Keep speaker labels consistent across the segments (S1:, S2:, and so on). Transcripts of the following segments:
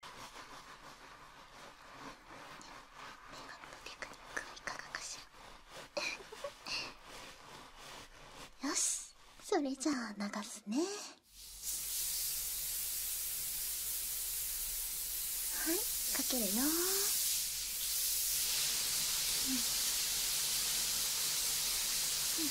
S1: テクニックいかがかしら よしそれじゃあ流すねはいかけるよ、うんうんうんうん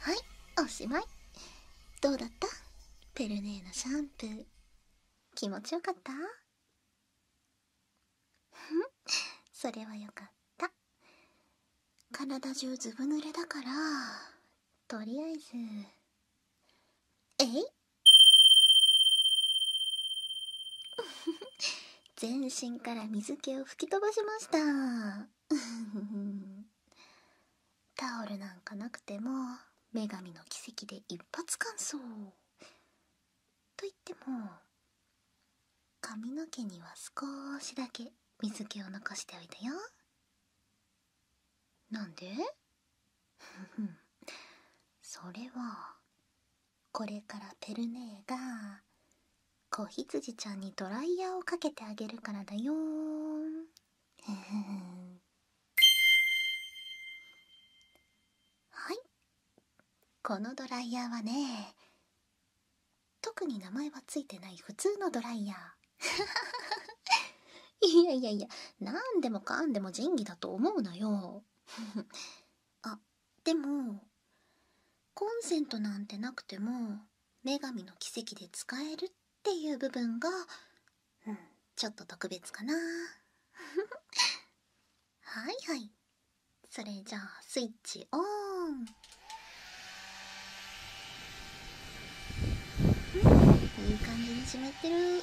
S1: はいおしまいどうだったペルネーのシャンプー気持ちよかったふんそれはよかった体中ずぶ濡れだからとりあえずえい全身から水気を吹き飛ばしました タオルなんかなくても女神の奇跡で一発完走といっても髪の毛には少しだけ水気を残しておいたよなんで それはこれからペルネーが子羊ちゃんにドライヤーをかけてあげるからだよーはいこのドライヤーはね特に名前はついてない普通のドライヤー いやいやいや何でもかんでも仁義だと思うのよあ でもコンセントなんてなくても女神の奇跡で使えるっていう部分が、うん、ちょっと特別かな はいはいそれじゃあスイッチオンうんいい感じに湿ってる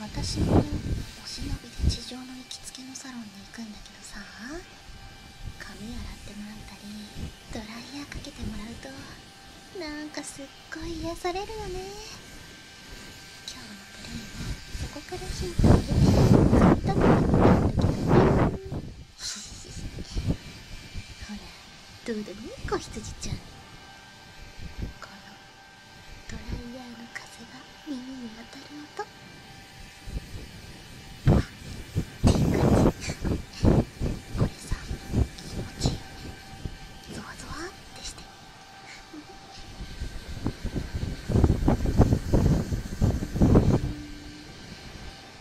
S1: 私もお忍びで地上の行きつけのサロンに行くんだけどさ髪洗ってもらったりドライヤーかけてもらうとなんかすっごい癒されるよね今日のプレイはここからヒントを得て買ったのになるけどねほらどうだね子羊ちゃんこドライヤーの風が耳に当たる音ふっていう感じこれさ気持ちいいねゾワゾワってして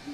S1: うん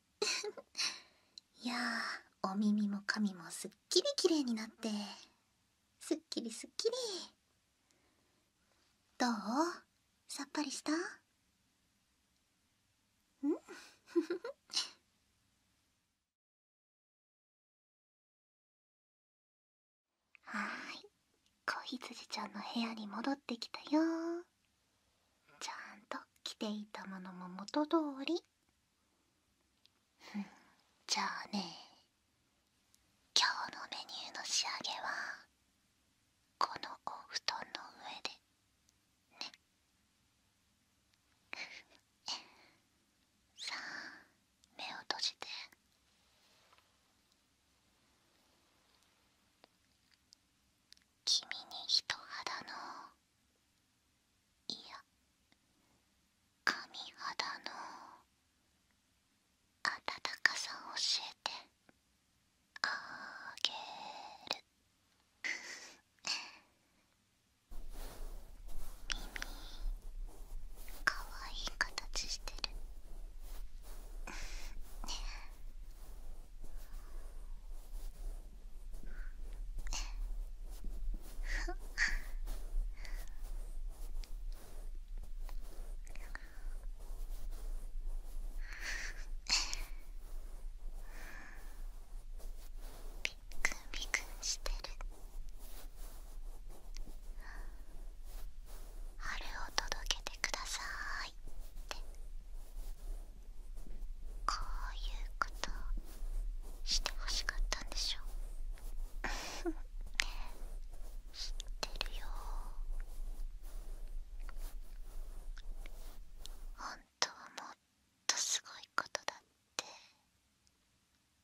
S1: いやお耳も髪もすっきりきれいになってすっきりすっきりどうさっぱりしたん はい子羊ちゃんの部屋に戻ってきたよちゃんと着ていたものも元通りじゃあね今日のメニューの仕
S2: 上げはこのお布団の上でね さあ目を閉じて君に人肌のいや髪肌の温かさ教えてあげる耳かわいい形してるね…ビクビクしてる「春を届けてください」って。こういうことしてほしかったんでしょ 知ってるよ本当はもっとすごいことだって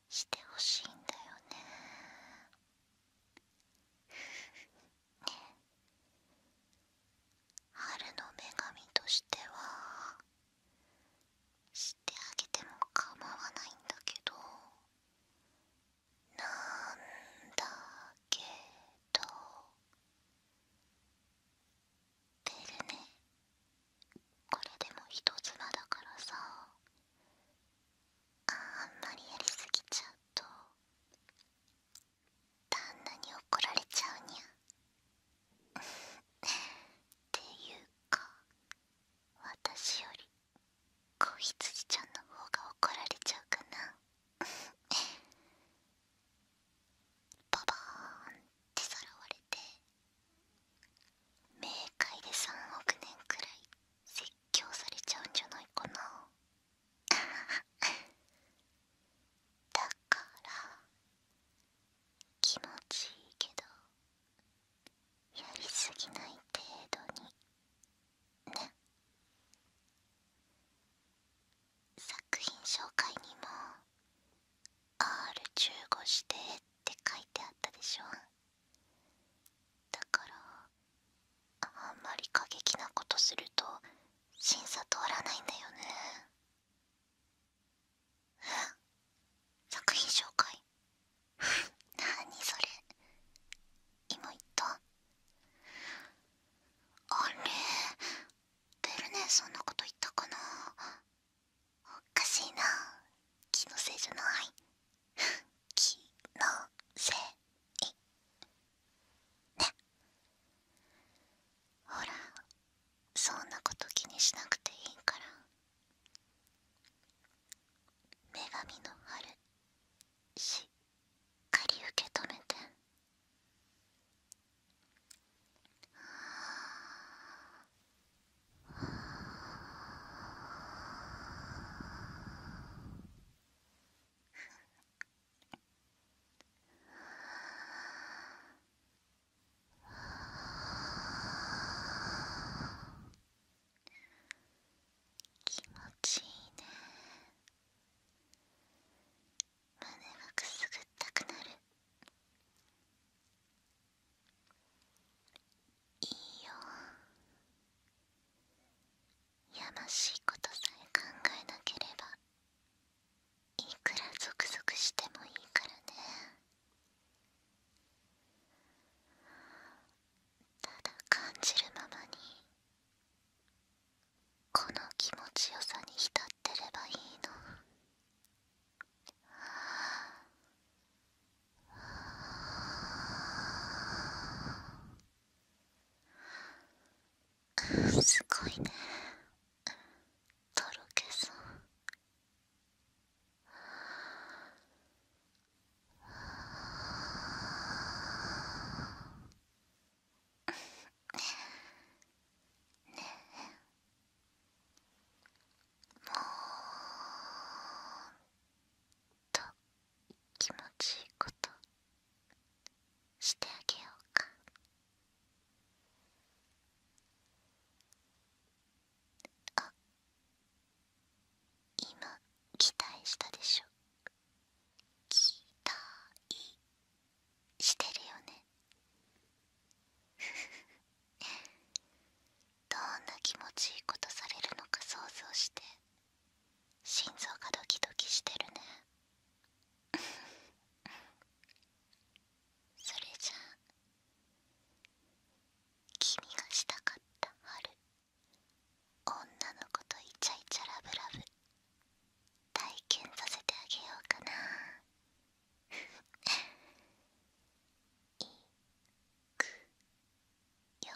S2: してほしいんだよねねえ。春の女神としては知ってあげても構わないんだけどなんだけど出るねこれでも人妻だからさあんまりやりすぎちゃうと旦那に怒られちゃうにゃ っていうか私より子羊ちゃんの方が怒られちゃうかな ババーンってさらわれて冥界で3億年くらい説教されちゃうんじゃないかな だから気持ちいいけどやりすぎない程度にね作品紹介にも R15 してって書いてあったでしょだからあんまり過激なことすると審査通らないんだよね作品紹介なにそれ今言ったあれベルネーそんなこと言ったかなおかしいな気のせいじゃない 気のせいほらそんなこと気にしなくていいから女神の春しっかり受け止めては気持ちいいね胸がくすぐったくなるいいよやましいことさえ考えなければいくらゾクゾクしてもいいからねただ感じるままにこの気持ちよさに浸ってればいいのすごいねとろけそうねえもっと気持ちいいことしてあげようかあ今期待したでしょ期待してるよね どんな気持ちいいことされるのか想像して心臓がドキドキしてるね それじゃあ君がしたかった春女の子とイチャイチャラブラブ体験させてあげようかな いくよ